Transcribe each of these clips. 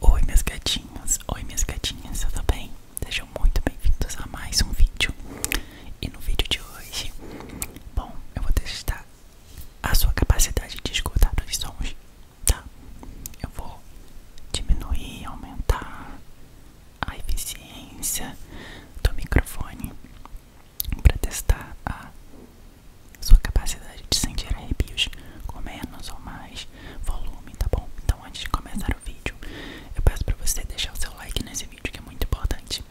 Oi meus gatinhos, oi minhas gatinhas, tudo bem? Sejam muito bem-vindos a mais um vídeo E no vídeo de hoje, bom, eu vou testar a sua capacidade de escutar os sons, tá? Eu vou diminuir, aumentar a eficiência do microfone para testar a sua capacidade de sentir arrepios com menos ou mais volume, tá bom? Então, antes de começar o vídeo, eu peço para você deixar o seu like nesse vídeo que é muito importante.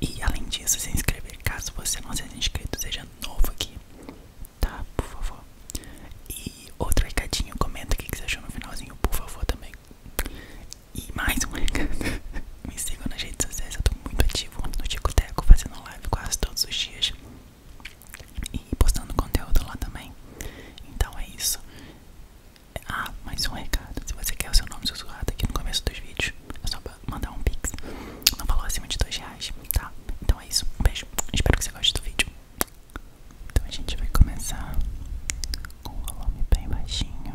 E além disso, se inscrever caso você não seja inscrito, seja novo aqui, tá? Por favor. E outro recadinho, comenta o que você achou no finalzinho, por favor, também. E mais um recado. Me sigam nas redes sociais, eu tô muito ativo no Tico fazendo live quase todos os dias e postando conteúdo lá também. Então é isso. Ah, mais um recado. Se você quer o seu nome sussurrado aqui no começo dos vídeos, é só mandar um pix. Não falou acima de dois reais, tá? Então é isso. Um beijo. Espero que você goste do vídeo. Então a gente vai começar com o volume bem baixinho.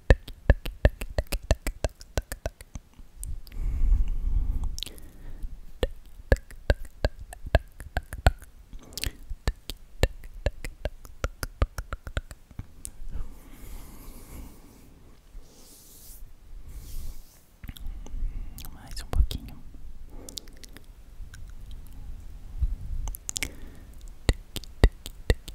Mais um pouquinho. Tic, tic, tic,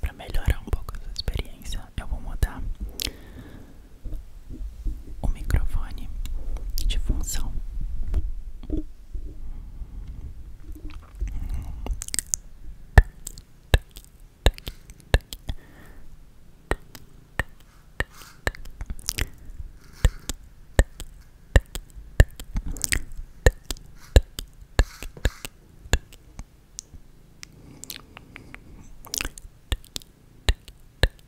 Para melhorar um pouco essa experiência, eu vou mudar o microfone de função.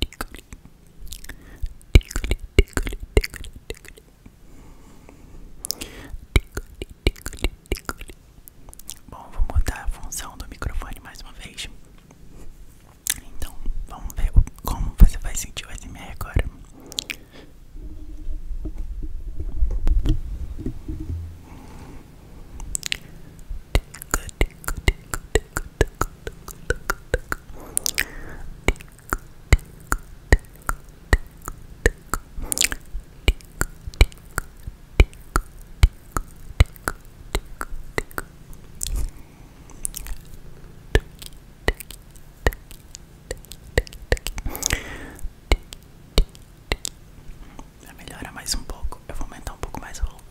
tickle, tickle, tickle, tickle, tickle. Bom, vou mudar a função do microfone mais uma vez. Então, vamos ver como você vai sentir o SMR agora. Tico, Melhora mais um pouco. Eu vou aumentar um pouco mais o volume.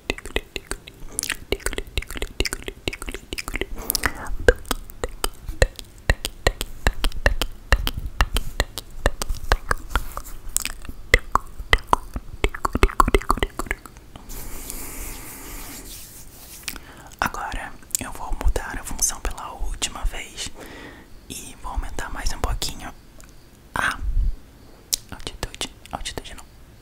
Agora eu vou mudar a função pela última vez e vou aumentar mais um pouquinho a altitude, altitude não,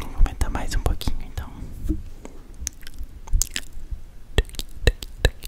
Vou aumentar mais um pouquinho então. Tic, tic, tic,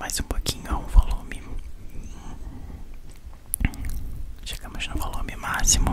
mais um pouquinho ao volume Chegamos no volume máximo.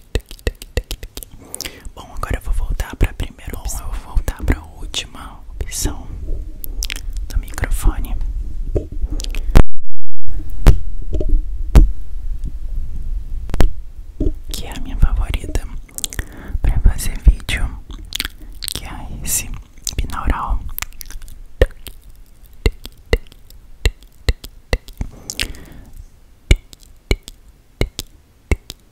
Bom, agora eu vou voltar para a primeira Bom, eu vou voltar para a última opção do microfone. Que é a minha favorita para fazer vídeo, que é esse binaural.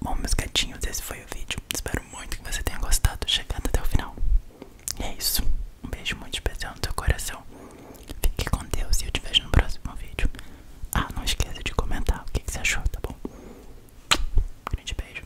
Bom, meus gatinhos, esse foi o vídeo. Espero muito que você tenha gostado, chegando até o final. E é isso. Um beijo muito especial no seu coração. Fique com Deus e eu te vejo no próximo vídeo. Ah, não esqueça de comentar o que, você achou, tá bom? grande beijo.